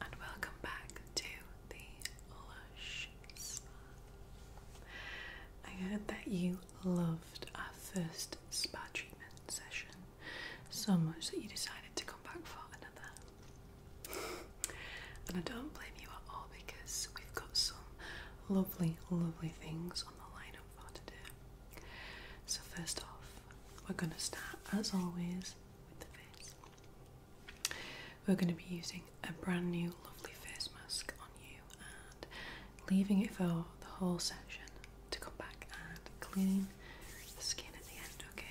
and welcome back to the Lush Spa. I heard that you loved our first spa treatment session so much that you decided to come back for another. and I don't blame you at all because we've got some lovely, lovely things on the lineup for today. So, first off, we're going to start as always we're going to be using a brand new lovely face mask on you and leaving it for the whole session to come back and clean the skin at the end, okay?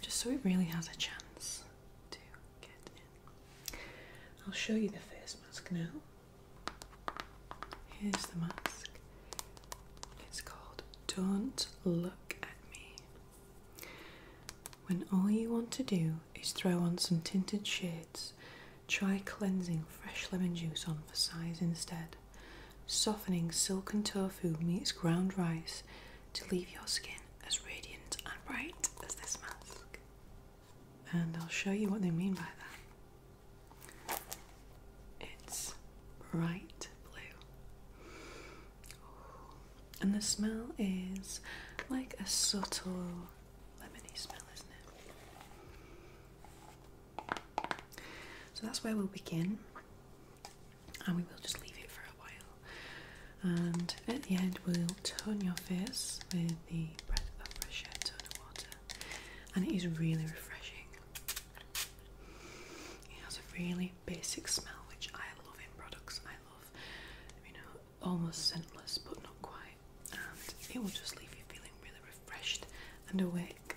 Just so it really has a chance to get in. I'll show you the face mask now. Here's the mask. It's called Don't Look at Me. When all you want to do is throw on some tinted shades, try cleansing fresh lemon juice on for size instead. Softening silken tofu meets ground rice to leave your skin as radiant and bright as this mask. And I'll show you what they mean by that. It's bright blue. And the smell is like a subtle lemony smell, isn't it? So that's where we'll begin. And we will just leave it for a while. And at the end, we'll tone your face with the breath of fresh air, tone water. And it is really refreshing. It has a really basic smell, which I love in products. I love, you know, almost scentless, but not quite. And it will just leave you feeling really refreshed and awake.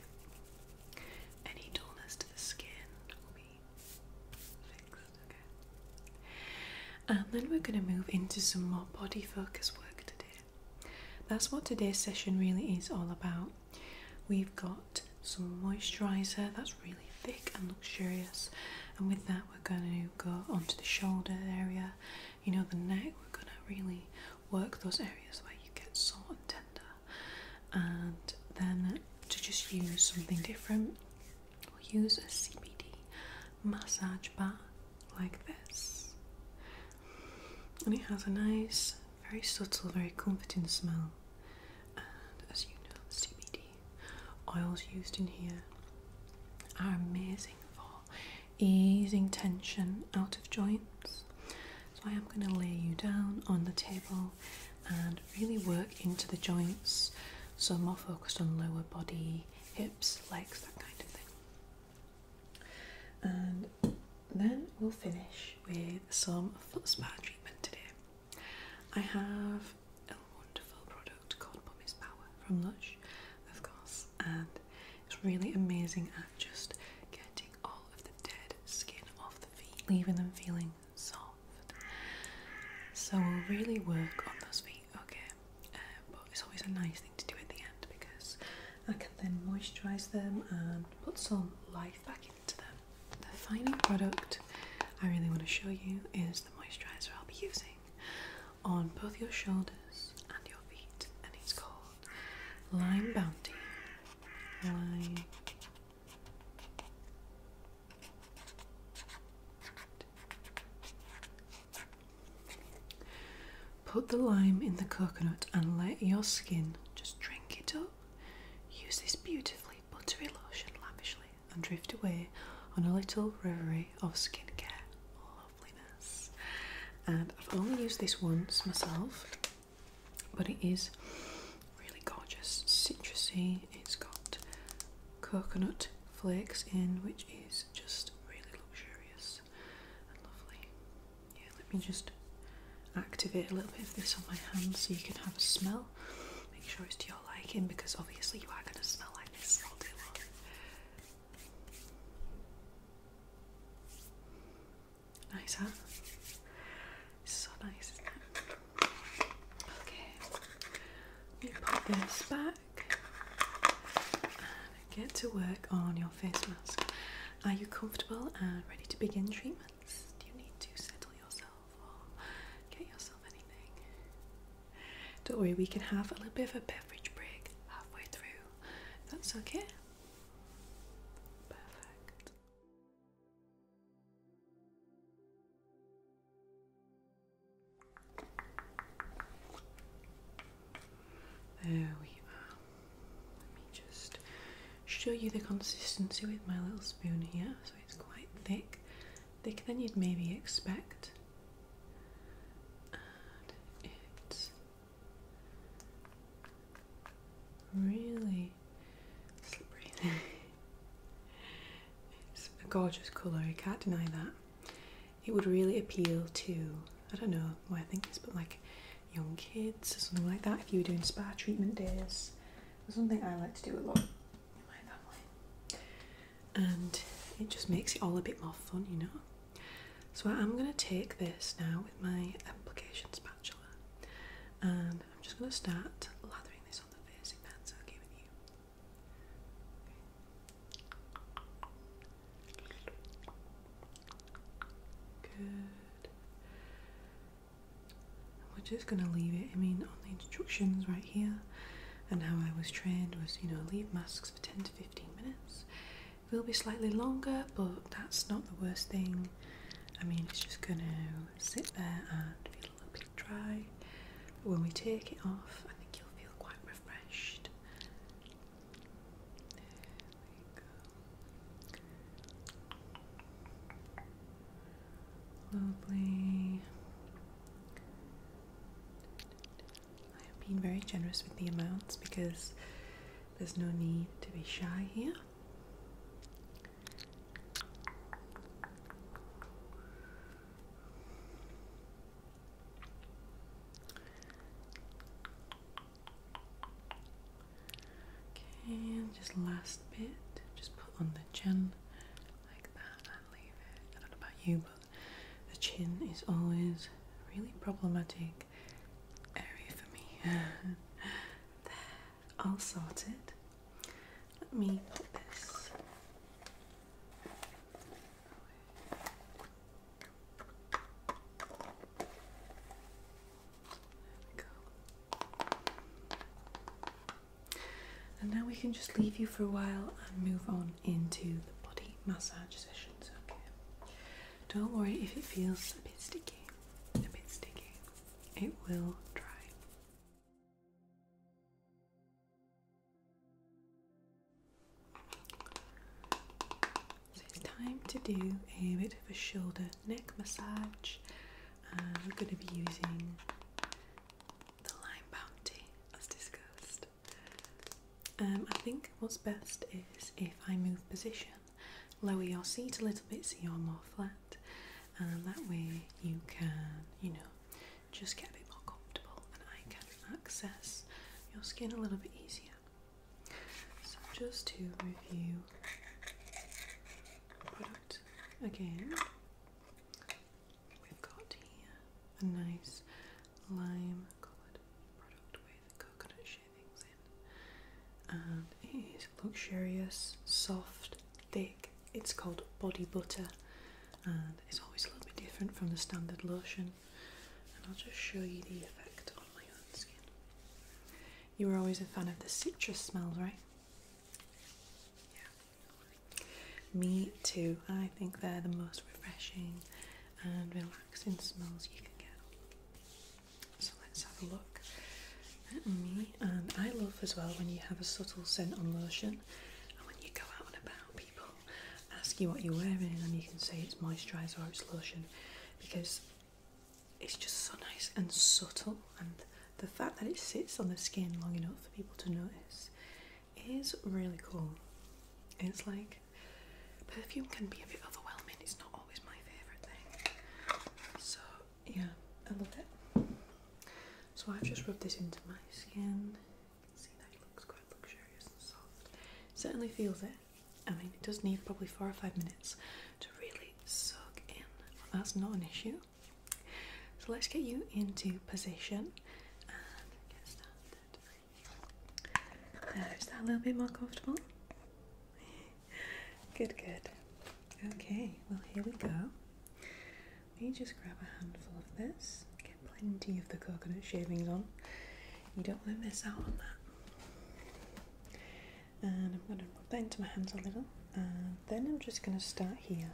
Any dullness to the skin will be fixed, okay? And then we're going to move into some more body focus work today. That's what today's session really is all about. We've got some moisturiser that's really thick and luxurious, and with that, we're going to go onto the shoulder area, you know, the neck. We're going to really work those areas where you get sore and tender, and then to just use something different, we'll use a CBD massage bar like this, and it has a nice very subtle, very comforting smell. And as you know, CBD oils used in here are amazing for easing tension out of joints. So I am going to lay you down on the table and really work into the joints. So more focused on lower body, hips, legs, that kind of thing. And then we'll finish with some foot spa treatment today. I have a wonderful product called Pumice Power from Lush, of course, and it's really amazing at just getting all of the dead skin off the feet, leaving them feeling soft. So we'll really work on those feet, okay? Uh, but it's always a nice thing to do at the end because I can then moisturise them and put some life back into them. The final product I really want to show you is the moisturizer I'll be using on both your shoulders and your feet, and it's called Lime Bounty. Lime Put the lime in the coconut and let your skin just drink it up use this beautifully buttery lotion lavishly and drift away on a little reverie of skincare loveliness. And I've only used this once myself, but it is really gorgeous, citrusy. It's got coconut flakes in, which is just really luxurious and lovely. Yeah, let me just activate a little bit of this on my hand so you can have a smell. Make sure it's to your liking because obviously you are going to smell like this all day long. Nice, huh? It's so nice, isn't it? Okay, let me pop this back and get to work on your face mask. Are you comfortable and ready to begin treatment? do you need to settle yourself or get yourself anything? Don't worry, we can have a little bit of a beverage break halfway through. That's okay. Perfect. There we are. Let me just show you the consistency with my little spoon here. So it's quite thick, thicker than you'd maybe expect. And it's really slippery. it's a gorgeous colour, you can't deny that. It would really appeal to, I don't know why I think this, but like young kids or something like that. If you were doing spa treatment days, was something I like to do a lot and it just makes it all a bit more fun, you know. So I'm going to take this now with my application spatula, and I'm just going to start lathering this on the face. If that's okay with you. We're just going to leave it. I mean, on the instructions right here, and how I was trained was, you know, leave masks for 10 to 15 minutes. It will be slightly longer, but that's not the worst thing. I mean, it's just going to sit there and feel a little bit dry. But when we take it off, I think you'll feel quite refreshed go. I am being very generous with the amounts because there's no need to be shy here. Okay, and just last bit, just put on the chin like that and leave it. I don't know about you, but the chin is always really problematic area for me. there, all sorted. Let me put this. And now we can just leave you for a while and move on into the body massage session. So Don't worry if it feels a bit sticky, a bit sticky. It will dry. So it's time to do a bit of a shoulder neck massage. And we're going to be using the Lime Bounty as discussed. Um, I think what's best is if I move position, lower your seat a little bit so you're more flat, and that way you can, you know, just get a bit more comfortable and I can access your skin a little bit easier. So just to review product again, we've got here a nice lime coloured product with coconut shavings in, and it is luxurious, soft, thick. It's called body butter, and it's always a little bit different from the standard lotion. And I'll just show you the effect on my own skin. You were always a fan of the citrus smells, right? Yeah. Me too. I think they're the most refreshing and relaxing smells you can get. So let's have a look at me. And I love as well when you have a subtle scent on lotion and when you go out and about, people ask you what you're wearing and you can say it's moisturiser or it's lotion because it's just so nice and subtle, and the fact that it sits on the skin long enough for people to notice is really cool. It's like perfume can be a bit overwhelming, it's not always my favourite thing. So, yeah, I love it. So, I've just rubbed this into my skin. see that looks quite luxurious and soft. Certainly feels it. I mean, it does need probably four or five minutes to really soak in. That's not an issue. So let's get you into position and get started. There, is that a little bit more comfortable? Good, good. Okay, well, here we go. Let me just grab a handful of this. Get plenty of the coconut shavings on. You don't want to miss out on that and I'm going to put that into my hands a little and then I'm just going to start here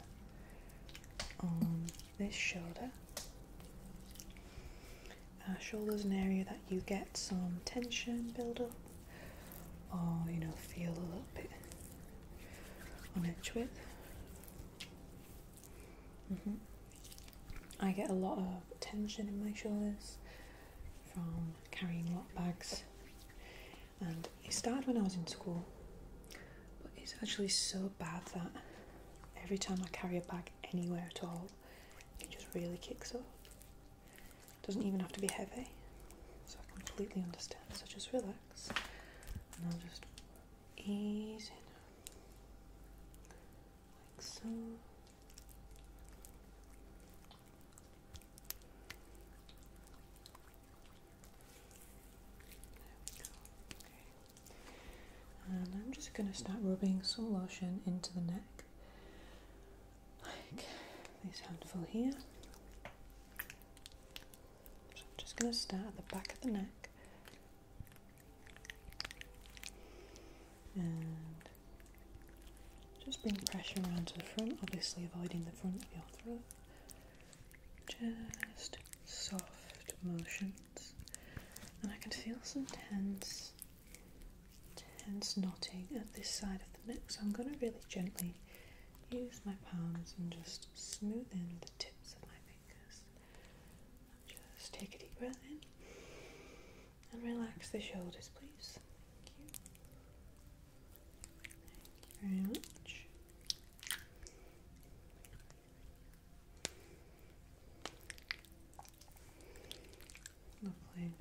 on this shoulder. Our uh, shoulder's an area that you get some tension build up or you know feel a little bit on edge with. Mm-hmm. I get a lot of tension in my shoulders from carrying lot bags. And it started when I was in school, but it's actually so bad that every time I carry a bag anywhere at all, it just really kicks off. doesn't even have to be heavy, so I completely understand. So just relax, and I'll just ease in, like so. And I'm just going to start rubbing some lotion into the neck, like this handful here. I'm just going to start at the back of the neck and just bring pressure around to the front, obviously avoiding the front of your throat. Just soft motions. And I can feel some tense, tense knotting at this side of the neck, so I'm going to really gently use my palms and just smooth in the tips of my fingers. Just take a deep breath in. And relax the shoulders, please. Thank you. Thank you very much. Lovely.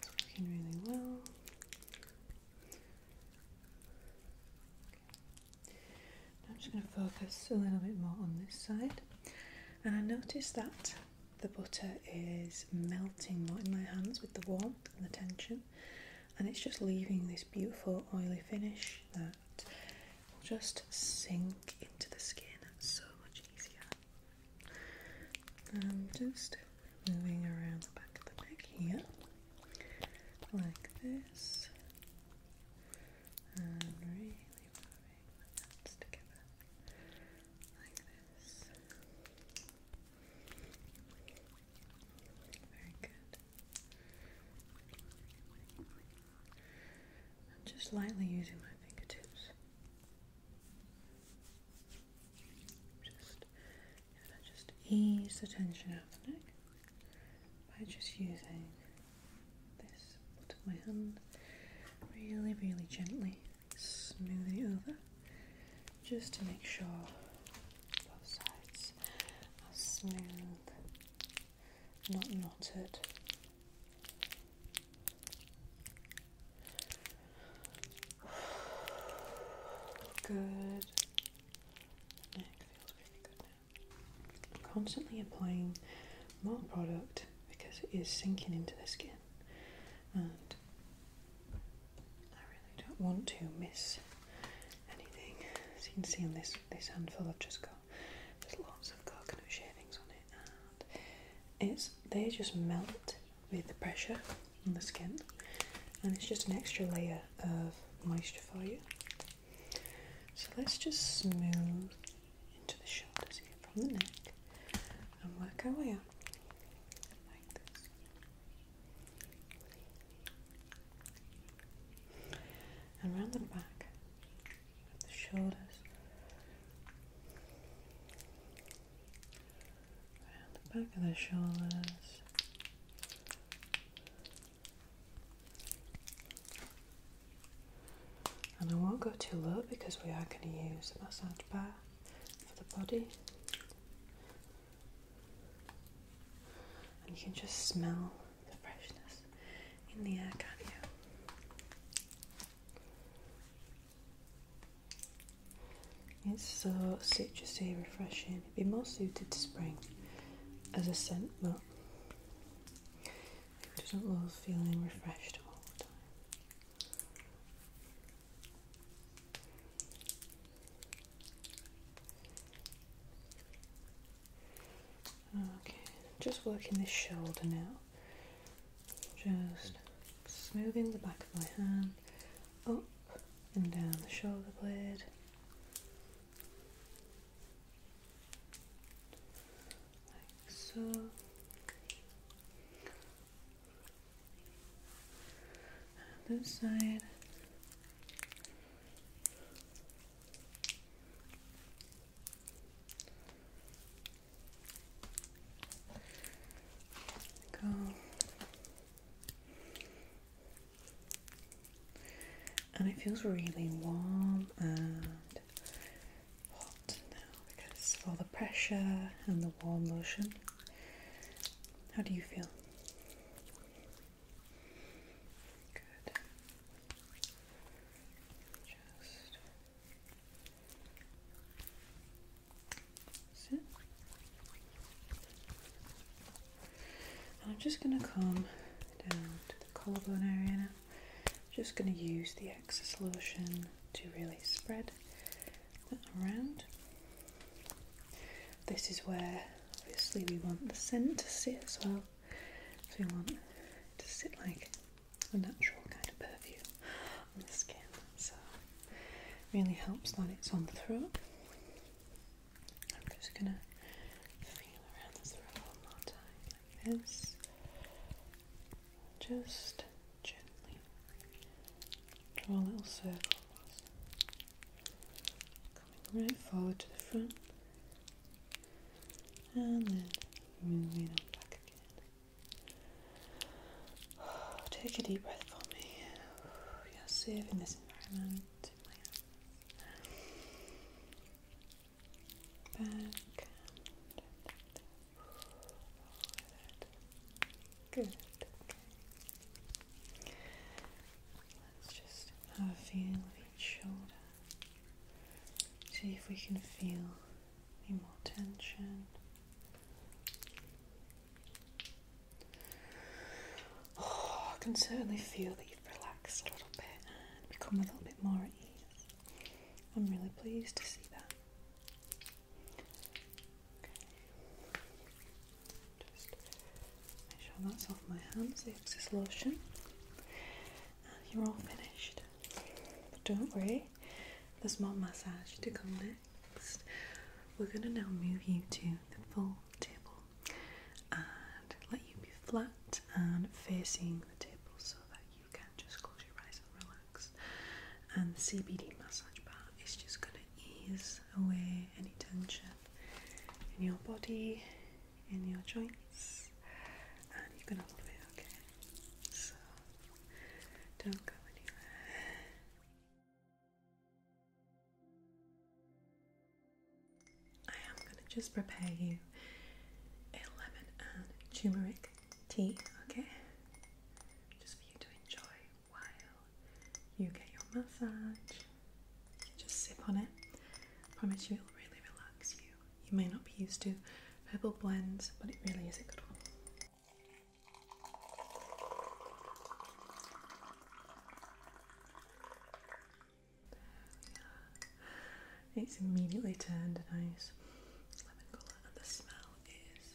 It's working really well. I'm just going to focus a little bit more on this side and I notice that the butter is melting more in my hands with the warmth and the tension and it's just leaving this beautiful oily finish that will just sink into the skin so much easier. I'm just moving around the back of the neck here like this and really rubbing together like this. Very good. just lightly using my fingertips. Just, and I just ease the tension out of the neck by just using this part of my hand really, really gently smoothly over just to make sure both sides are smooth, not knotted. Good. The feels really good now. constantly applying more product because it is sinking into the skin. And I really don't want to miss anything. As you can see on this, this handful I've just got, there's lots of coconut shavings on it and it's they just melt with the pressure on the skin and it's just an extra layer of moisture for you. So let's just smooth into the shoulders here from the neck and work our way up And around the back the shoulders, round the back of the shoulders, and I won't go too low because we are going to use the massage bar for the body. And you can just smell the freshness in the air, can't you? It's so citrusy, and refreshing. It'd be more suited to spring as a scent, but it doesn't love feeling refreshed all the time. Okay, just working this shoulder now. Just smoothing the back of my hand up and down the shoulder blade. Like so. And this side. Go. And it feels really warm and hot now because of all the pressure and the warm lotion. How do you feel? Good. Just sit. I'm just going to come down to the collarbone area now. Just going to use the excess lotion to really spread around. This is where obviously we want the scent to sit as well. So we want to sit like a natural kind of perfume on the skin. So really helps that it's on the throat. I'm just gonna feel around the throat one more time like this. Just gently draw little circles coming right forward to the front and then moving back again. Take a deep breath for me. You're safe in this environment. Back. Good. Let's just have a feel of each shoulder. See if we can feel any more tension. Oh, I can certainly feel that you've relaxed a little bit and become a little bit more at ease. I'm really pleased to see that. Just make sure that's off my hands, the excess lotion. And you're all finished. But don't worry, The small massage to come next. We're going to now move you to the full table and let you be flat and facing the table so that you can just close your eyes and relax. And the CBD massage bar is just going to ease away any tension in your body, in your joints, and you're going to love it, okay? So, don't go anywhere. I am going to just prepare you a lemon and turmeric tea, okay? Just for you to enjoy while you get your massage. just sip on it. promise you it'll really relax you. You may not be used to purple blends, but it really is a good one. It's immediately turned a nice lemon colour, and the smell is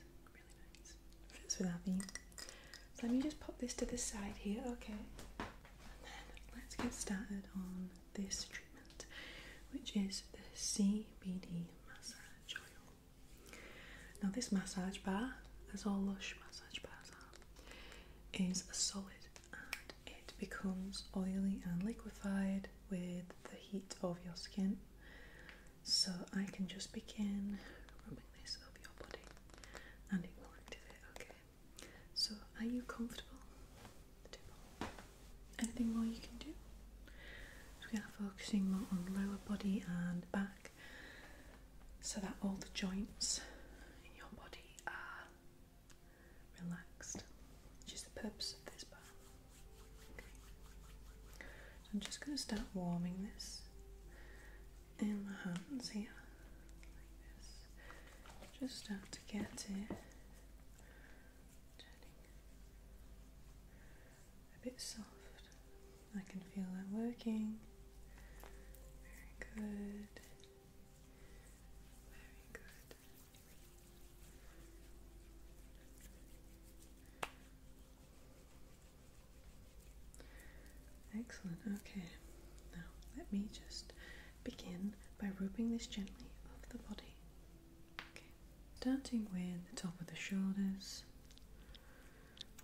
let me just pop this to the side here, okay? And then let's get started on this treatment, which is the CBD massage oil. Now, this massage bar, as all lush massage bars are, is a solid and it becomes oily and liquefied with the heat of your skin. So I can just begin rubbing this over your body and it will okay? So are you comfortable? Anything more you can do? we are focusing more on lower body and back so that all the joints in your body are relaxed, which is the purpose of this bath. I'm just going to start warming this in the hands here, Just start to get it a bit soft. I can feel that working. Very good. Very good. Excellent. Okay. Now let me just begin by rubbing this gently over the body. Starting with the top of the shoulders.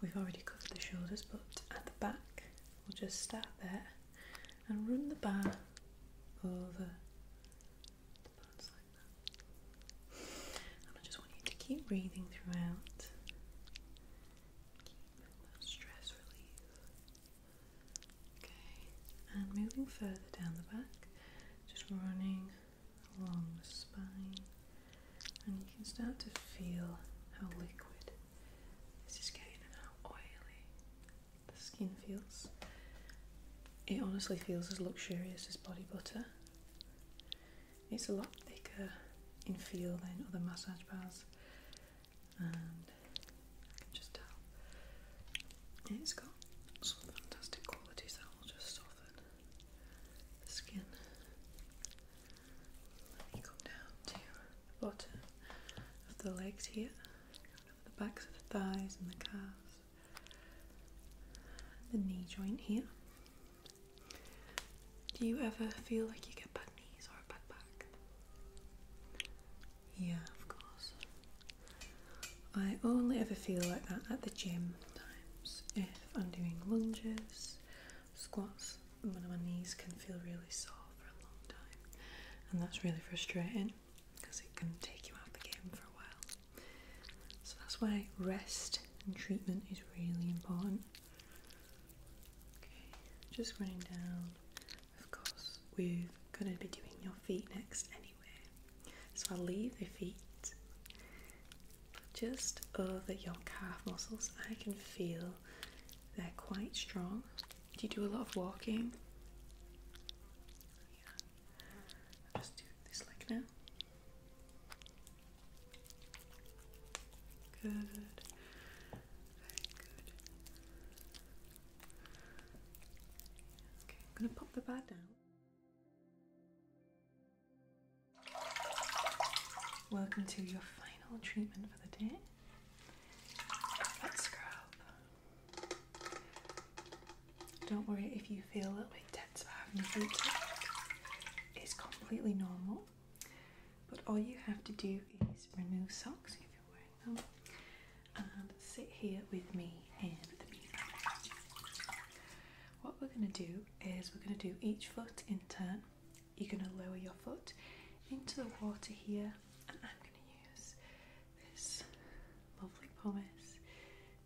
We've already covered the shoulders, but at the back, we'll just start there and run the bar over the sounds like I just want you to keep breathing throughout. Keep that stress relief. Okay, and moving further down the back, just running along the spine, and you can start to feel how liquid this is getting and how oily the skin feels. It honestly feels as luxurious as body butter. It's a lot thicker in feel than other massage bars, and I can just tell it's got some fantastic qualities that will just soften the skin. Let me come down to the bottom of the legs here, the backs of the thighs and the calves the knee joint here. Do you ever feel like you get bad knees or a bad back? Yeah, of course. I only ever feel like that at the gym times if I'm doing lunges, squats, and one of my knees can feel really sore for a long time, and that's really frustrating because it can take you out of the game for a while. So that's why rest and treatment is really important. Okay, just running down. Of course, we're going to be doing your feet next anyway. So I'll leave the feet. just over your calf muscles, I can feel they're quite strong. Do you do a lot of walking? I'm just doing this like now. Good. Very good. Okay, I'm gonna pop the bag down. Welcome to your final treatment for the day. Let's scrub. Don't worry if you feel a little bit tense for having a food It's completely normal. But all you have to do is remove socks if you're wearing them and sit here with me And What we're going to do is we're going to do each foot in turn. You're going to lower your foot into the water here and I'm going to use this lovely pumice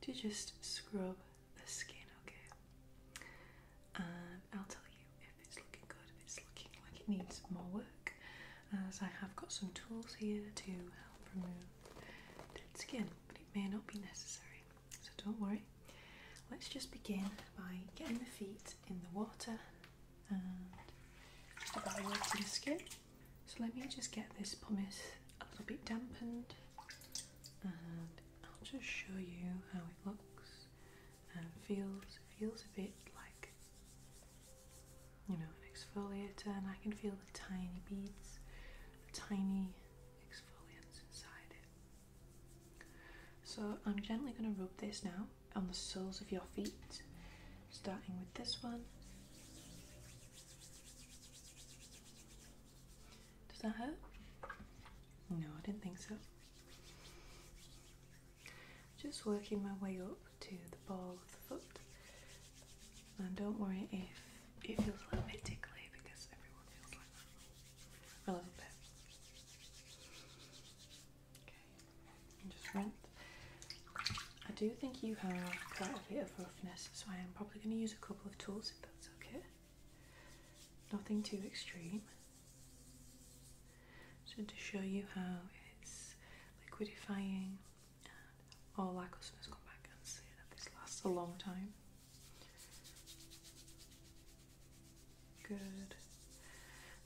to just scrub the skin, okay? I'll tell you if it's looking good, if it's looking like it needs more work, as uh, I have got some tools here to help remove dead skin, but it may not be necessary, so don't worry. Let's just begin by getting the feet in the water and just about evaluating the skin. So let me just get this pumice a little bit dampened. I'll just show you how it looks and feels. feels a bit like you know an exfoliator, and I can feel the tiny beads, the tiny exfoliants inside it. So I'm gently going to rub this now on the soles of your feet, starting with this one. Does that hurt? No, I didn't think so. Just working my way up to the ball of the foot. And don't worry if it feels a little bit tickly because everyone feels like that. A little bit. Okay, just rinse. I do think you have quite a bit of roughness, so I am probably going to use a couple of tools if that's okay nothing too extreme. So to show you how it's liquidifying and all our customers come back and say that this lasts a long time. Good.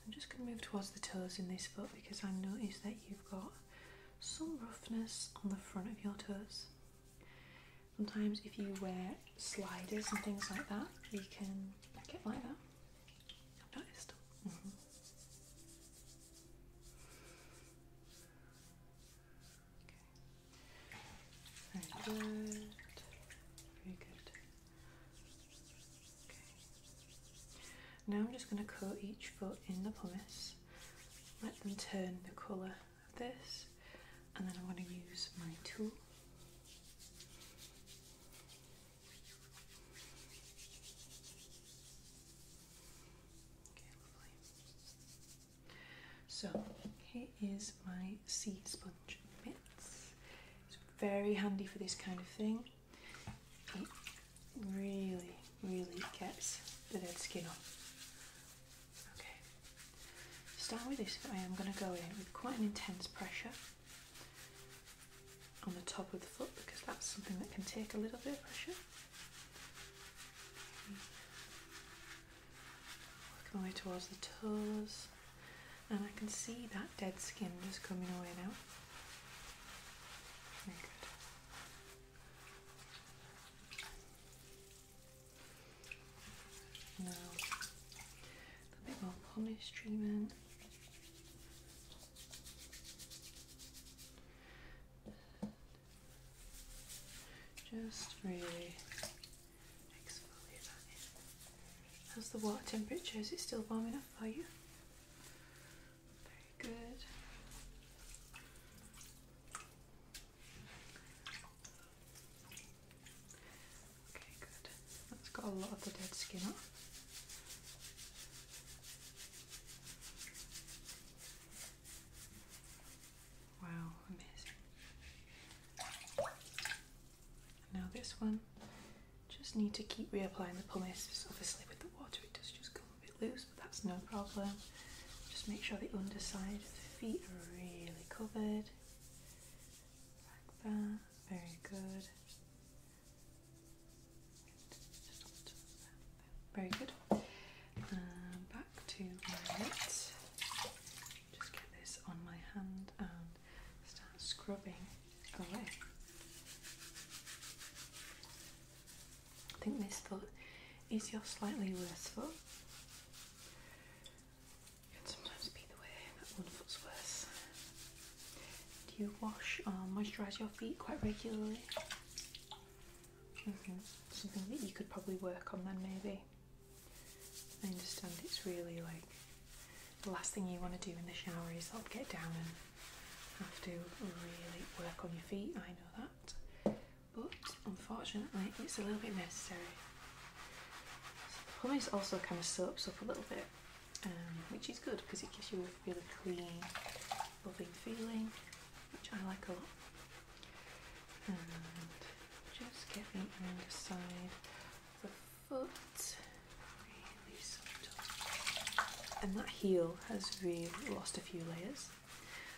I'm just going to move towards the toes in this foot because I noticed that you've got some roughness on the front of your toes. Sometimes, if you wear sliders and things like that, you can get like that. Very good. Very good. Okay. Now I'm just going to coat each foot in the pumice. Let them turn the colour of this, and then I'm going to use my tool. So here is my sea sponge mitts. It's very handy for this kind of thing. It really, really gets the dead skin off. Okay. Start with this I'm going to go in with quite an intense pressure on the top of the foot because that's something that can take a little bit of pressure. Work my way towards the toes, and I can see that dead skin just coming away now. Very good a bit more polish treatment. Just really exfoliate How's the water temperature? Is it still warm enough for you? Very good. Okay, good. That's got a lot of the dead skin off. Wow, amazing. Now this one, just need to keep reapplying the pumice. Obviously with the water it does just come a bit loose, but that's no problem. Just make sure the underside of the feet are really covered. Like that. Very good. Very good. And back to my lips. Just get this on my hand and start scrubbing away. I think this foot is your slightly worse foot. Can sometimes be the way that one foot's worse. Do you wash or moisturise your feet quite regularly? Mm-hmm. Something that you could probably work on then, maybe. I understand it's really like the last thing you want to do in the shower is like get down and have to really work on your feet. I know that but unfortunately it's a little bit necessary. The hummus also kind of soaks up a little bit, um, which is good because it gives you a really clean, loving feeling, which I like a lot. And just get the underside of the foot. Really soft. And that heel has really lost a few layers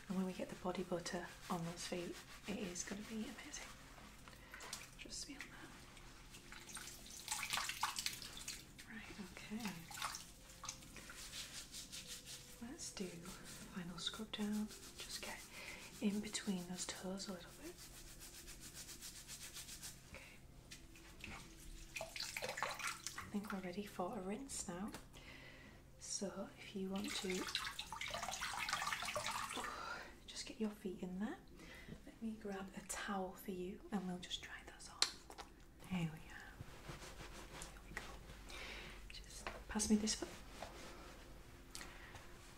and when we get the body butter on those feet, it is going to be amazing. Trust me on that. Right, okay. Let's do final scrub down. Just get in between those toes a little bit. Okay. I think we're ready for a rinse now. So if you want to just get your feet in there, let me grab a towel for you and we'll just dry those off. There we are. Here we go. Just pass me this foot.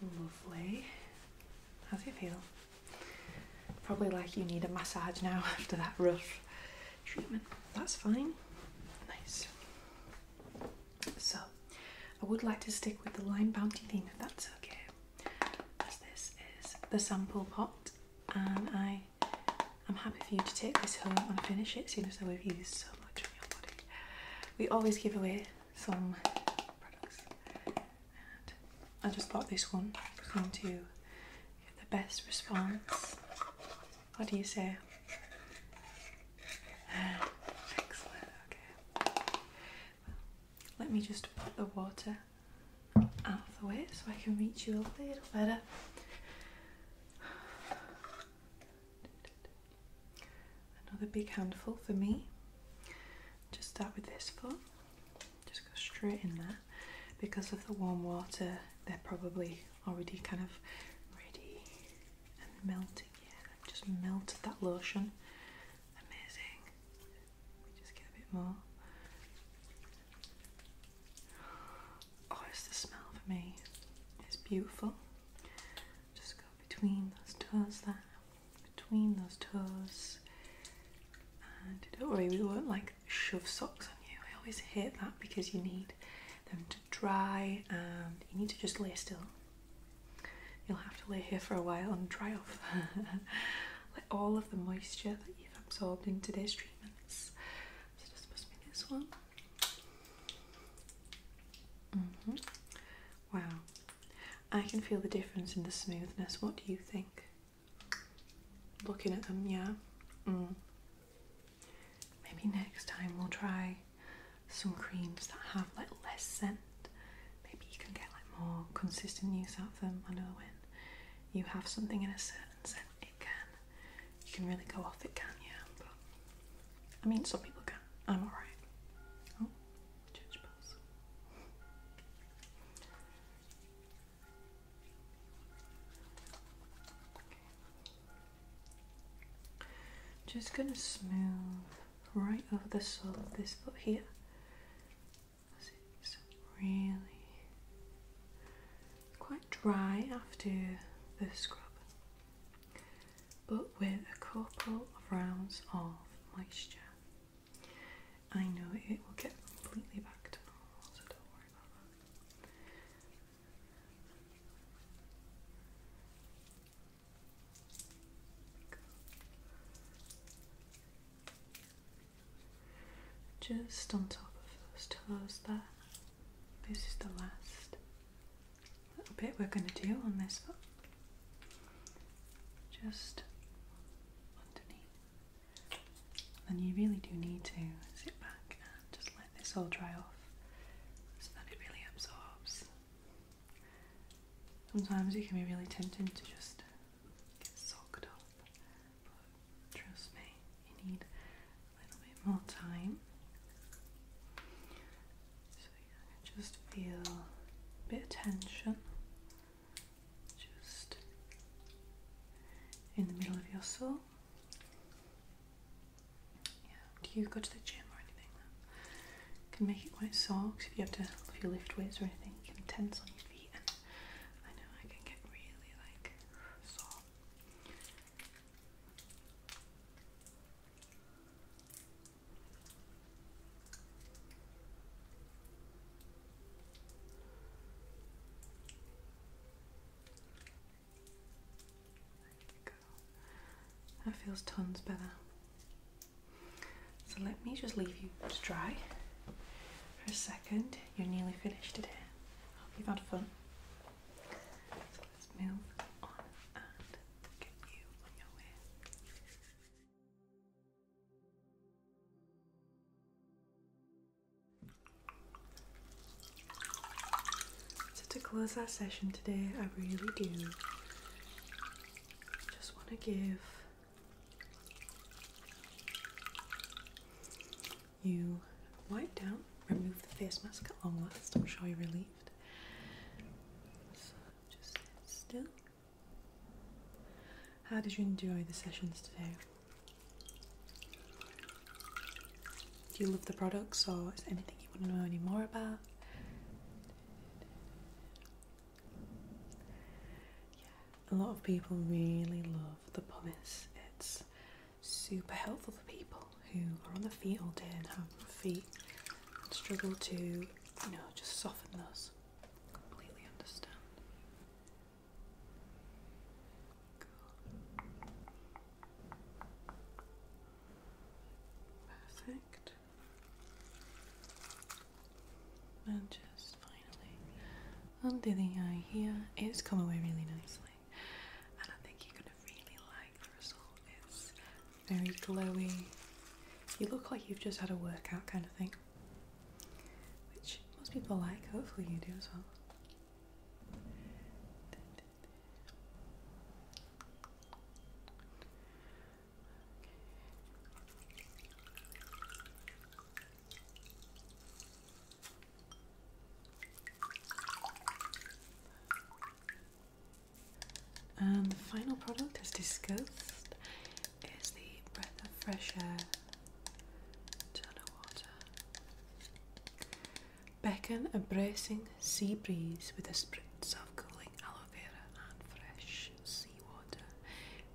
Lovely. How's it feel? Probably like you need a massage now after that rough treatment. That's fine. Nice. So I would like to stick with the lime bounty theme if that's okay, as this is the sample pot, and I am happy for you to take this home and finish it, seeing as i have used so much on your body. We always give away some products, and I just bought this one for to get the best response. What do you say? Excellent, okay. Well, let me just put the water out of the way so I can reach you a little better. Another big handful for me. Just start with this foot. Just go straight in there. Because of the warm water, they're probably already kind of ready and melt it. Yeah, i just melted that lotion. Amazing. Just get a bit more. Oh, it's the smell for me. It's beautiful. Just go between those toes there, between those toes. And don't worry, we won't like shove socks on you. I always hate that because you need them to dry and you need to just lay still. You'll have to lay here for a while and dry off. Let all of the moisture that you've absorbed in today's treatments. So this must be this one. Mm-hmm. Wow. I can feel the difference in the smoothness. What do you think? Looking at them, yeah. Mm. Maybe next time we'll try some creams that have like less scent. Maybe you can get like more consistent use out of them. I know when you have something in a certain scent, it can you can really go off it, can you? Yeah, I mean, some people can. I'm alright. Oh, church just gonna smooth right over the sole of this foot here. it's really quite dry after the scrub, but with a couple of rounds of moisture, I know it will get completely back to normal, so don't worry about that. Just on top of those toes there. This is the last little bit we're going to do on this Just underneath. And you really do need to sit back and just let this all dry off so that it really absorbs Sometimes it can be really tempting to just get socked up, but trust me, you need a little bit more time. So yeah, just feel a bit of tension just in the middle of your soul. Yeah. Do you go to the gym or anything? can make it quite sore because if you have to, if you lift weights or anything, can tense on your feet, and I know I can get really like sore. That feels tons better. So let me just leave you to dry for a second. You're nearly finished today. I hope you had fun. So let's move on and get you on your way. So, to close our session today, I really do just want to give you wipe down, remove the face mask long last. I'm sure you're relieved. So, just still. How did you enjoy the sessions today? Do you love the products or is anything you want to know any more about. Yeah, a lot of people really love the pumice. It's super helpful for people who are on the feet all day and have feet and struggle to, you know, just soften those. Completely understand. Perfect. And just finally under the eye here. It's come away really nicely. And I think you're gonna really like the result. It's very glowy. You look like you've just had a workout kind of thing. Which most people like, hopefully you do as well. And the final product, as discussed, is the Breath of Fresh Air Turner Water beckon a bracing sea breeze with a spritz of cooling aloe vera and fresh seawater.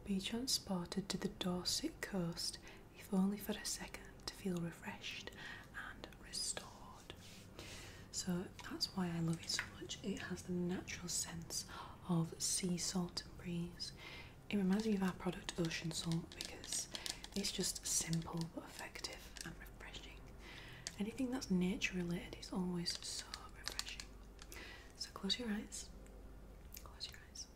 Be transported to the Dorset coast, if only for a second, to feel refreshed and restored. So that's why I love it so much. It has the natural sense of sea salt and breeze. It reminds me of our product Ocean Salt because it's just simple effective and refreshing. Anything that's nature related is always so refreshing. So close your eyes. Close your eyes.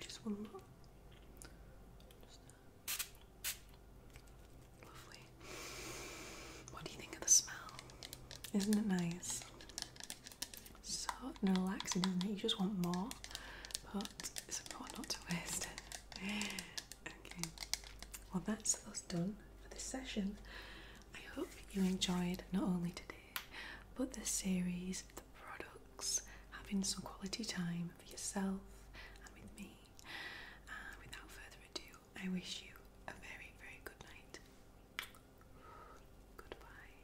Just one more. Lovely. What do you think of the smell? Isn't it nice? so relaxing, isn't it? You just want more, but it's important not to waste okay, well, that's us done for this session. I hope you enjoyed not only today, but the series, the products, having some quality time for yourself and with me. without further ado, I wish you a very, very good night. Goodbye.